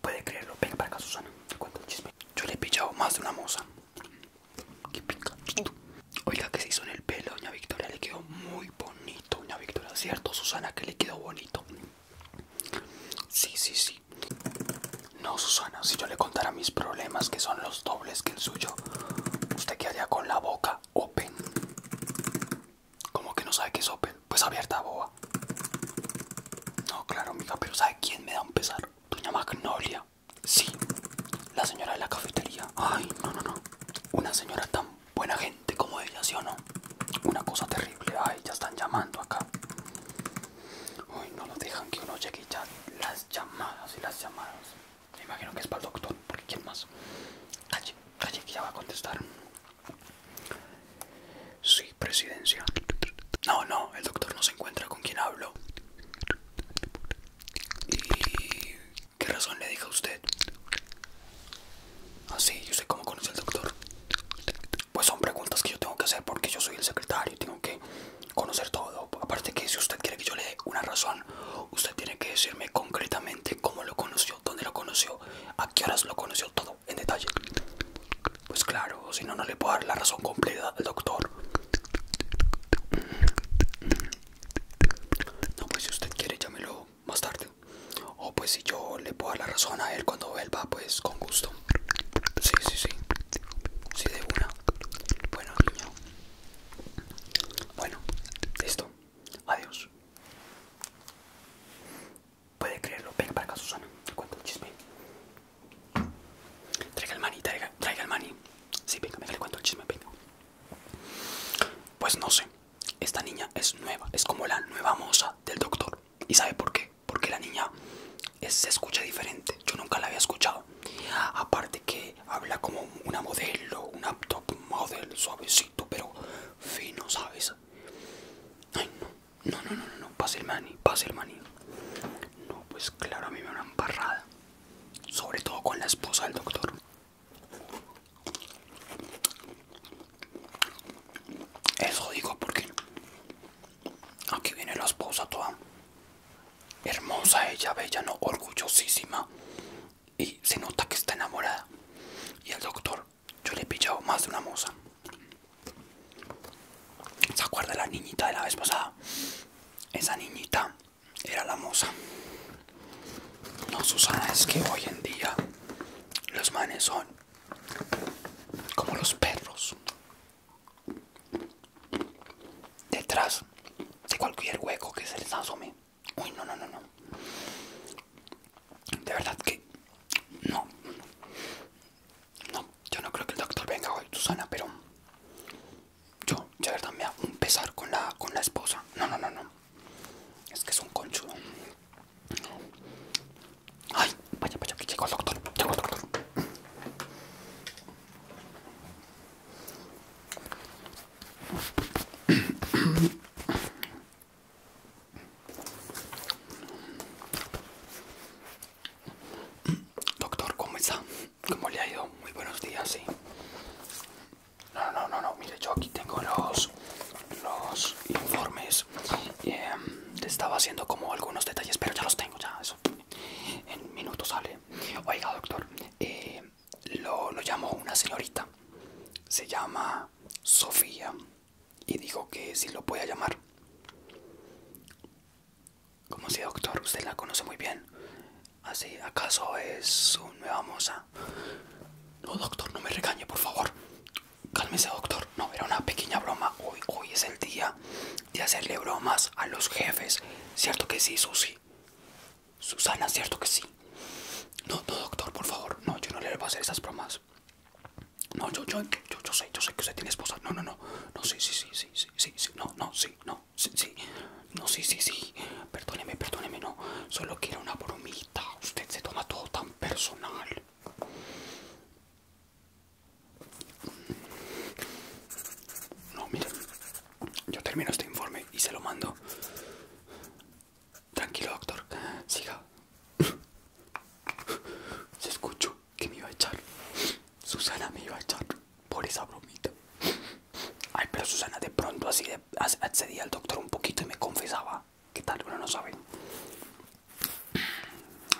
Puede creerlo, venga para acá Susana, te chisme Yo le he pillado más de una moza qué Oiga que se hizo en el pelo doña Victoria, le quedó muy bonito doña Victoria, ¿cierto Susana que le quedó bonito? Sí, sí, sí No Susana, si yo le contara mis problemas que son los dobles que el suyo Usted quedaría con la boca open como que no sabe que es Pues abierta, boba. No, claro, mija, pero ¿sabe quién me da un pesar? Doña Magnolia. Sí, la señora de la cafetería. Ay, no, no, no. Una señora tan buena gente como ella, ¿sí o no? Una cosa terrible. Ay, ya están llamando acá. Uy, no nos dejan que uno llegue ya. Las llamadas y las llamadas. Me imagino que es para el doctor, porque ¿quién más? Calle, calle, que ya va a contestar. Sí, presidencia. No, no, el doctor no se encuentra con quien hablo. ¿Y qué razón le dijo a usted? Ah, sí, yo sé cómo conoce al doctor. Pues son preguntas que yo tengo que hacer porque yo soy el secretario y tengo que conocer todo. Aparte que si usted quiere que yo le dé una razón, usted tiene que decirme concretamente cómo lo conoció, dónde lo conoció, a qué horas lo conoció todo en detalle. Pues claro, si no, no le puedo dar la razón completa al doctor. No, pues si usted quiere, llámelo más tarde. O pues si yo le puedo dar la razón a él cuando vuelva pues con gusto. Sí, sí, sí. Sí, de una. Bueno, niño. Bueno, listo. Adiós. Puede creerlo. Venga para acá, Susana. Te el chisme. Traiga el mani, traiga, el mani. Sí, venga, me cuento el chisme, venga. Pues no sé. Esta niña es nueva. Es como la nueva moza del doctor. ¿Y sabe por qué? Porque la niña se escucha diferente. Yo nunca la había escuchado. Aparte que habla como una modelo, una top model, suavecito, pero fino, ¿sabes? Ay, no, no, no, no, no, pase el maní, pase el maní. No, pues claro, a mí me una embarrada. Sobre todo con la esposa del doctor. Eso digo porque aquí viene la esposa toda hermosa, ella bella, no orgullosísima y se nota que está enamorada. Y al doctor, yo le he pillado más de una moza. ¿Se acuerda la niñita de la vez pasada? Esa niñita era la moza. No, Susana, es que hoy en día los manes son como los perros. Detrás de cualquier hueco que se les asome. Uy, no, no, no, no. De verdad que no. No, yo no creo que el doctor venga hoy, Susana, pero yo, de verdad, me hago un pesar con la, con la esposa. No, no, no, no. Es que es un conchudo. Ay, vaya, vaya, que llegó el doctor. Llegó el doctor. Doctor, ¿cómo está? ¿Cómo le ha ido? Muy buenos días, sí. No, no, no, no, mire, yo aquí tengo los, los informes. Em, estaba haciendo como algunos detalles, pero ya los tengo, ya, eso. En minutos sale. Oiga, doctor, eh, lo, lo llamó una señorita, se llama Sofía, y dijo que si lo puede llamar. Como si doctor, usted la conoce muy bien. Así, ¿Ah, ¿acaso es su nueva moza? No, doctor, no me regañe, por favor. Cálmese, doctor. No, era una pequeña broma. Hoy, hoy es el día de hacerle bromas a los jefes. ¿Cierto que sí, Susi? Susana, ¿cierto que sí? No, no, doctor, por favor. No, yo no le voy a hacer esas bromas. No, yo, yo, yo, yo sé, yo sé que usted tiene esposa. No, no, no. No, sí, sí, sí, sí, sí, sí, sí. No, no, sí, no, sí, sí. No, sí, sí, sí. Perdóneme, perdóneme, no. Solo quiero una bromita. Usted se toma todo tan personal. No, mire yo termino este informe y se lo mando. Tranquilo, doctor. Siga. Se escucho que me iba a echar. Susana me iba a echar por esa bromita. Ay, pero Susana de pronto así de, accedía al doctor un poquito y me confesaba. Que tal? Uno no sabe.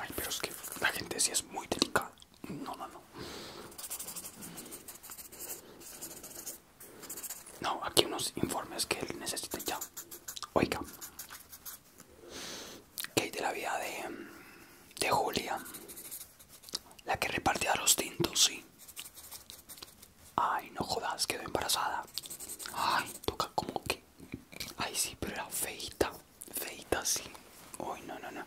Ay, pero es que la gente sí es muy delicada. No, no, no. No, aquí unos informes que él necesita ya. Oiga. Que de la vida de, de Julia. La que repartía los tintos, sí. Ay, no jodas, quedó embarazada. Ay, toca como que. Ay, sí, pero era feita. Feita, sí. Uy, no, no, no.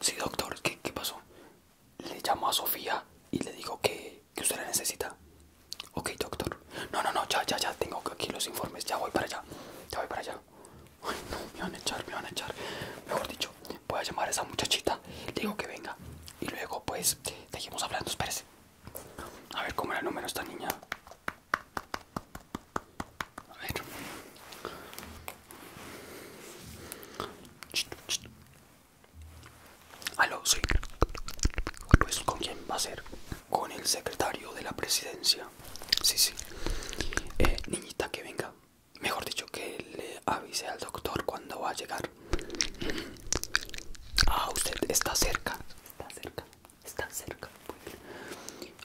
Sí, doctor, ¿qué, qué pasó? le llamo a Sofía y le digo que, usted la necesita. Ok, doctor. No, no, no, ya, ya, ya, tengo aquí los informes, ya voy para allá, ya voy para allá. no, me van a echar, me van a echar. Mejor dicho, voy a llamar a esa muchachita, le digo que venga. Y luego, pues, seguimos hablando, espérese. A ver cómo era el número esta niña. A ver. Aló, sí. ¿con quién va a ser? Con el secretario de la presidencia. Sí, sí. Eh, niñita, que venga. Mejor dicho, que le avise al doctor cuando va a llegar. Ah, usted está cerca. Está cerca. Está cerca.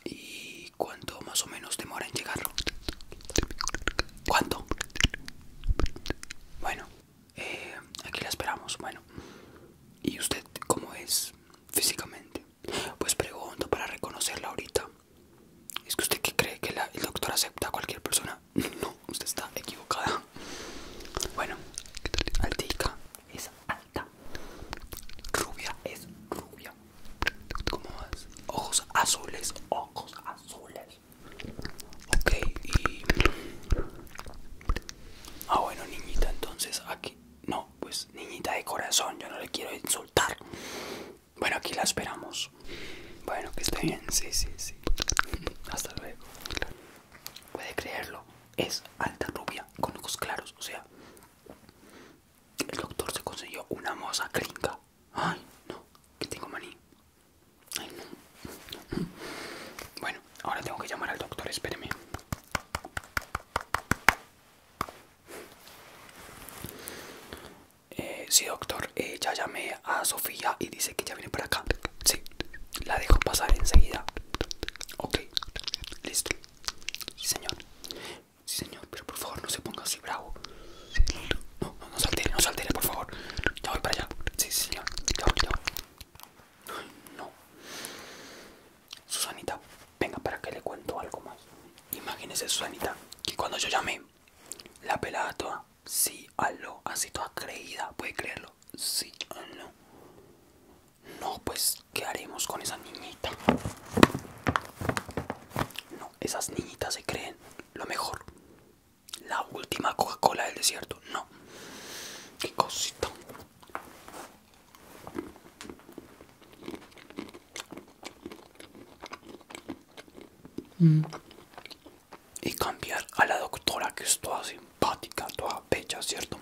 ¿Y cuánto más o menos demora en llegarlo? ¿Cuánto? Bueno, eh, aquí la esperamos. Bueno, ¿y usted cómo es físicamente? Pues pregunto para reconocerla ahorita. ¿Es que usted cree que el doctor acepta a cualquier persona? No, usted está equivocada. Bueno, altica es alta. Rubia es rubia. ¿Cómo vas? Ojos azules, ojos azules. Ok, y... Ah, bueno, niñita, entonces aquí... No, pues niñita de corazón, yo no le quiero insultar. Bueno, aquí la esperamos. Bueno, que esté bien, sí, sí, sí. Hasta luego. Puede creerlo, es alta rubia, con ojos claros, o sea... El doctor se consiguió una moza gringa Ay, no, que tengo maní. Ay, no, Bueno, ahora tengo que llamar al doctor, espéreme. Eh, sí, doctor, eh, ya llamé a Sofía y dice que ya viene por acá. Sí, la dejo pasar enseguida. Ok, listo. Sí, señor. Sí, señor, pero por favor no se ponga así bravo. No, no, no se no saltele, por favor. Ya voy para allá. Sí, sí, ya, voy, ya voy. no. Susanita, venga para que le cuento algo más. Imagínese, Susanita, que cuando yo llamé, la pelada toda, sí, aló, así toda creída, puede creerlo. Sí, aló. No, pues, ¿qué haremos con esa niñita? No, esas niñitas se creen lo mejor. La última Coca-Cola del desierto. No. Qué cosita. Mm. Y cambiar a la doctora que es toda simpática, toda bella, ¿cierto?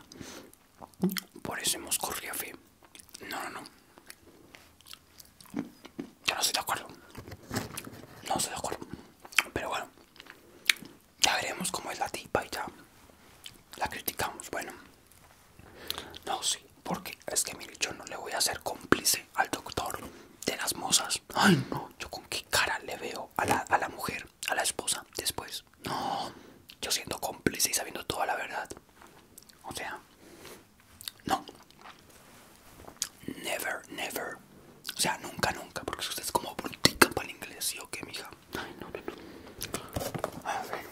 Por eso hemos corrido fe. No, no, no. Yo no estoy de acuerdo. No estoy de acuerdo. Pero bueno. Ya veremos cómo es la tipa y ya. La criticamos. Bueno. No, sí. Porque es que mire, yo no le voy a hacer cómplice al doctor de las mozas. Ay, no. Yo con qué cara le veo a la, a la mujer, a la esposa, después. No. Yo siendo cómplice y sabiendo toda la verdad. O sea, no. Never, never. O sea, nunca, nunca. Porque usted es como brutica para el inglés, ¿y o qué, mija? Ay, no, no, A ver.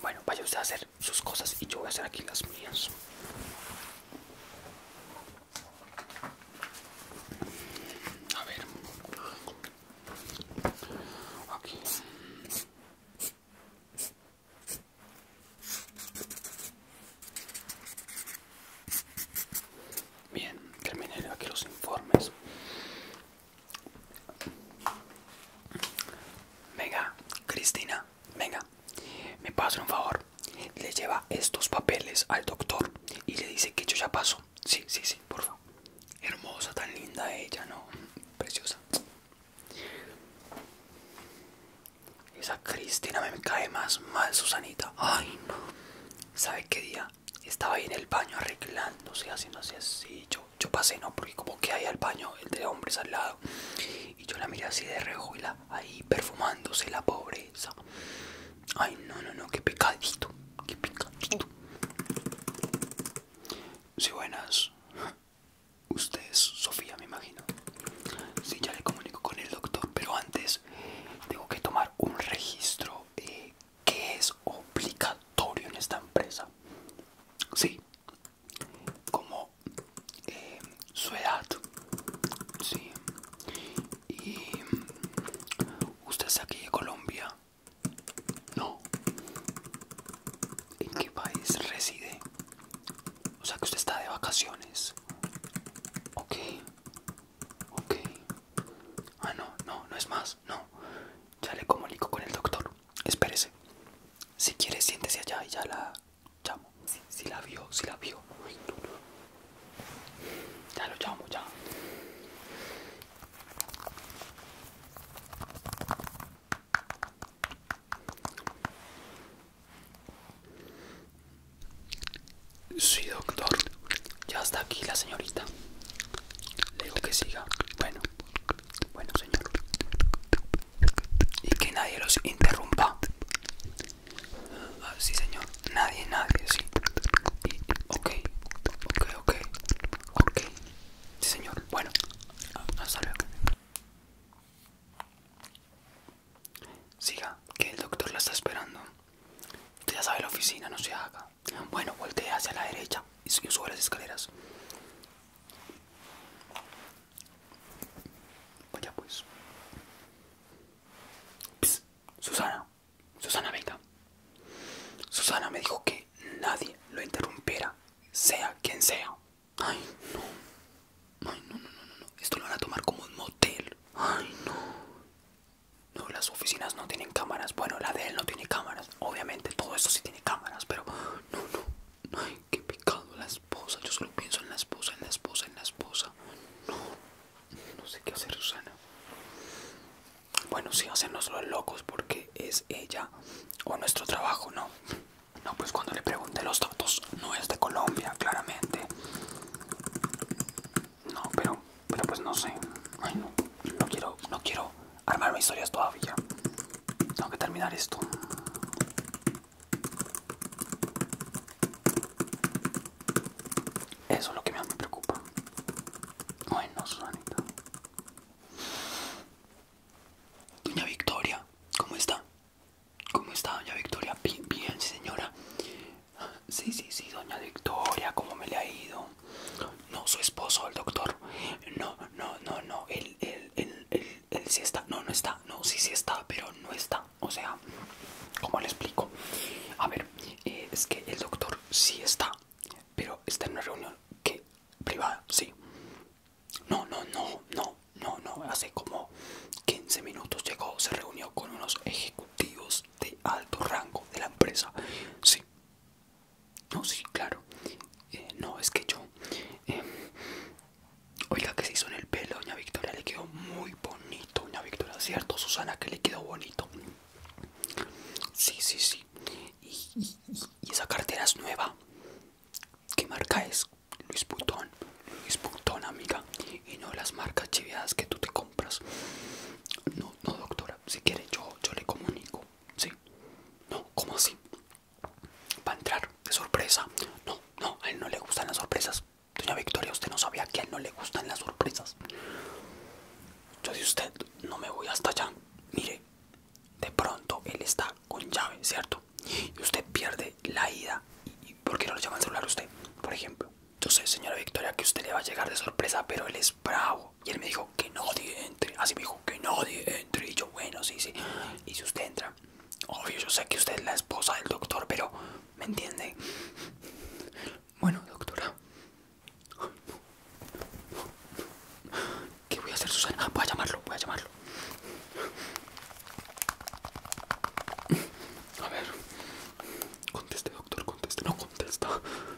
Bueno, vaya usted a hacer sus cosas y yo voy a hacer aquí las mías. A ver. Ok Bien, terminé aquí los informes. Venga, Cristina, venga, me pasa un favor. Le lleva estos papeles al doctor y le dice que yo ya paso. Sí, sí, sí por Hermosa, tan linda ella, ¿no? Preciosa. Esa Cristina me cae más mal, Susanita. Ay, no. ¿Sabe qué día? Estaba ahí en el baño arreglándose, haciendo así. Yo, yo pasé, ¿no? Porque como que hay al baño, el de hombres al lado. Y yo la miré así de reojo ahí perfumándose la pobreza. Ay, no, no, no, qué pecadito. Qué pecadito. Sí, buenas. Usted es Sofía, me imagino. Sí, ya le comunico con el doctor, pero antes tengo que tomar un registro eh, que es obligatorio en esta empresa. Sí, como eh, su edad. Sí. Y mm, usted es aquí de Colombia. No. ¿En qué país reside? O sea que usted está de vacaciones. Ok. Ok. Ah, no, no, no es más. No. Ya le comunico con el doctor. Espérese. Si quiere, siéntese allá y ya la llamo. Si, la vio, si la vio. Ya lo llamo, ya. Sí, doctor. Ya está aquí la señorita. Le digo que siga. Bueno, bueno, señor. Y que nadie los interrumpa. Ah, sí, señor. Nadie, nadie, sí. ok, ok, ok. Ok, Sí, señor. Bueno, hasta luego. Siga, que el doctor la está esperando. Usted ya sabe la oficina, no se haga. Bueno, voltee hacia la derecha y sube las escaleras. Vaya pues. Psst, Susana. Susana, venga. Susana me dijo que nadie lo interrumpiera, sea quien sea. Ay, no. Ay, no, no, no, no. Esto lo van a tomar como un motel. Ay, no. No, las oficinas no tienen cámaras. Bueno, la de él no tiene cámaras. Obviamente, todo esto sí tiene cámaras, pero no, no. Ay, qué pecado. La esposa, yo solo pienso en la esposa, en la esposa, en la esposa. No, no sé qué hacer, Susana bueno, sí, hacernos los locos porque es ella o nuestro trabajo, ¿no? No, pues cuando le pregunte los datos, no es de Colombia, claramente. No, pero, pero pues no sé. Ay, no, no quiero, no quiero armarme historias todavía. Tengo que terminar esto. Eso es lo que más me preocupa. Bueno, Susanita. Doña Victoria, ¿cómo está? ¿Cómo está, doña Victoria? Bien, bien, señora. Sí, sí, sí, doña Victoria, ¿cómo me le ha ido? No, su esposo, el doctor. No, no, no, no, él, él, está. No, no está. No, sí, sí está, pero no está. O sea, ¿cómo le explico? A ver, eh, es que el doctor sí está, pero está en una reunión que privada, sí. No, no, no, no, no, no. Hace como 15 minutos llegó, se reunió con unos ejecutivos de alto rango de la empresa. Sí. No, sí, claro. Eh, no, es que yo... Eh, oiga, que se hizo en el pelo, doña Victoria, le quedó muy bonito, doña Victoria, ¿cierto? Susana, que le quedó bonito. Sí, sí, sí. Y, esa cartera es nueva. ¿Qué marca es? Luis Butón. Luis Butón, amiga. Y no las marcas chivadas que tú te compras. No, no, doctora. Si quiere, yo, yo le comunico. Sí. No, ¿cómo así? Va a entrar de sorpresa. No, no, a él no le gustan las sorpresas. Doña Victoria, usted no sabía que a él no le gustan las sorpresas yo usted no me voy hasta allá. Mire, de pronto él está con llave, ¿cierto? Y usted pierde la ida. ¿Y por qué no lo llama el celular usted? Por ejemplo. Yo sé, señora Victoria, que usted le va a llegar de sorpresa, pero él es bravo. Y él me dijo que no entre. Así me dijo que no entre. Y yo, bueno, sí, sí. Y si usted entra, obvio, yo sé que usted es la esposa del doctor, pero ¿me entiende? Bueno, doctora. ¿Qué voy a hacer, Susana? voy a llamarlo, voy a llamarlo. A ver. Conteste, doctor, conteste. No contesta.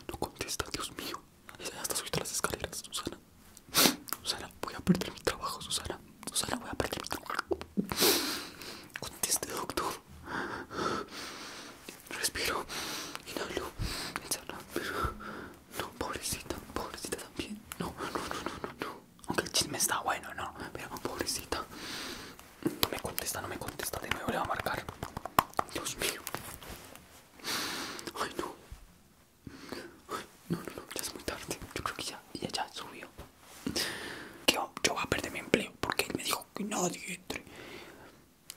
No contesta, Dios mío. Ya está subido las escaleras, Susana. Susana, voy a perder mi trabajo, Susana. Susana, voy a perder mi trabajo. Conteste, doctor. Respiro, inhalo, exhalo, pero no, pobrecita, pobrecita también. No, no, no, no, no, Aunque el chisme está bueno, no, pero pobrecita. No me contesta, no me contesta, de nuevo le va a marcar. Dios mío. Ay, no. no, no, no, ya es muy tarde. Yo creo que ya, ya, ya subió. Que yo, yo voy a perder mi empleo porque él me dijo que nadie entre.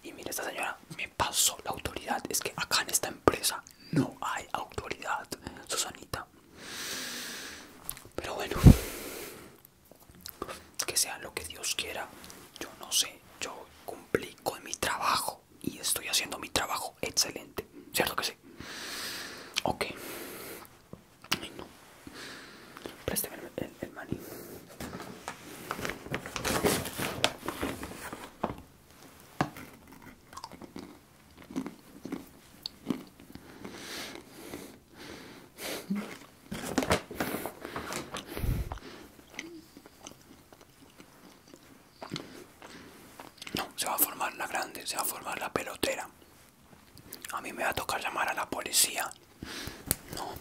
Y mira esta señora me pasó la autoridad. Es que acá en esta empresa no hay autoridad, Susanita. Pero bueno, que sea lo que Dios quiera. Yo no sé, yo cumplí con mi trabajo y estoy haciendo mi trabajo excelente. ¿Cierto que sí? Ok. no. No. el, el maní. No, se va a formar la grande, se va a formar la pelotera. A mí me va a tocar llamar a la policía no.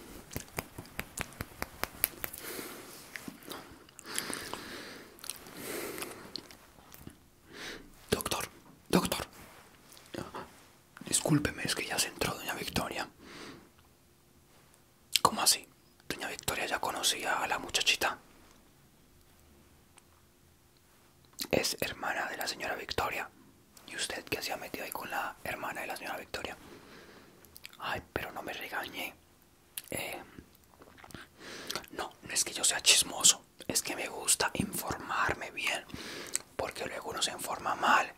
Doctor, doctor. Discúlpeme, es que ya se entró doña Victoria. ¿Cómo así? Doña Victoria ya conocía a la muchachita. Es hermana de la señora Victoria. ¿Y usted qué ha metido ahí con la hermana de la señora Victoria? Ay, pero no me regañe. Eh, no, no es que yo sea chismoso. Es que me gusta informarme bien. Porque luego uno se informa mal.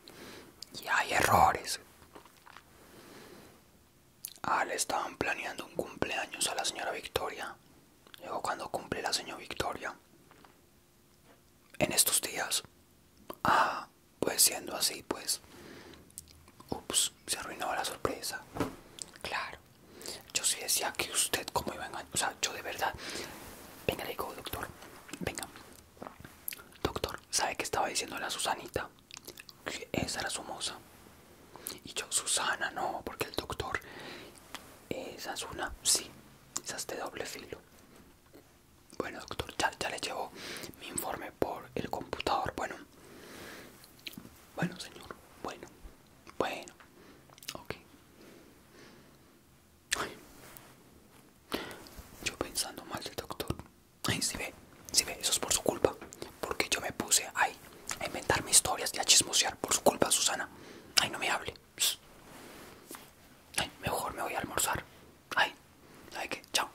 Y hay errores. Ah, le estaban planeando un cumpleaños a la señora Victoria. Luego cuando cumple la señora Victoria, en estos días. Ah, pues siendo así, pues. Ups, se arruinó la sorpresa. Claro. Yo sí decía que usted, como iba a O sea, yo de verdad. Venga, le digo, doctor. Venga. Doctor, ¿sabe que estaba diciendo la Susanita? Que esa era su moza. Y yo, Susana, no, porque el doctor. Esa es una. Sí, esa es de doble filo. Bueno, doctor, ya, le llevo mi informe por el computador. Bueno, bueno, señor, bueno, bueno, ok. Yo pensando mal del doctor. Ay, si ve, si ve, eso es por su culpa. Porque yo me puse ahí a inventarme historias y a chismosear por su culpa, Susana. Ay, no me hable. Ay, mejor me voy a almorzar. Ay, ¿sabes qué? Chao.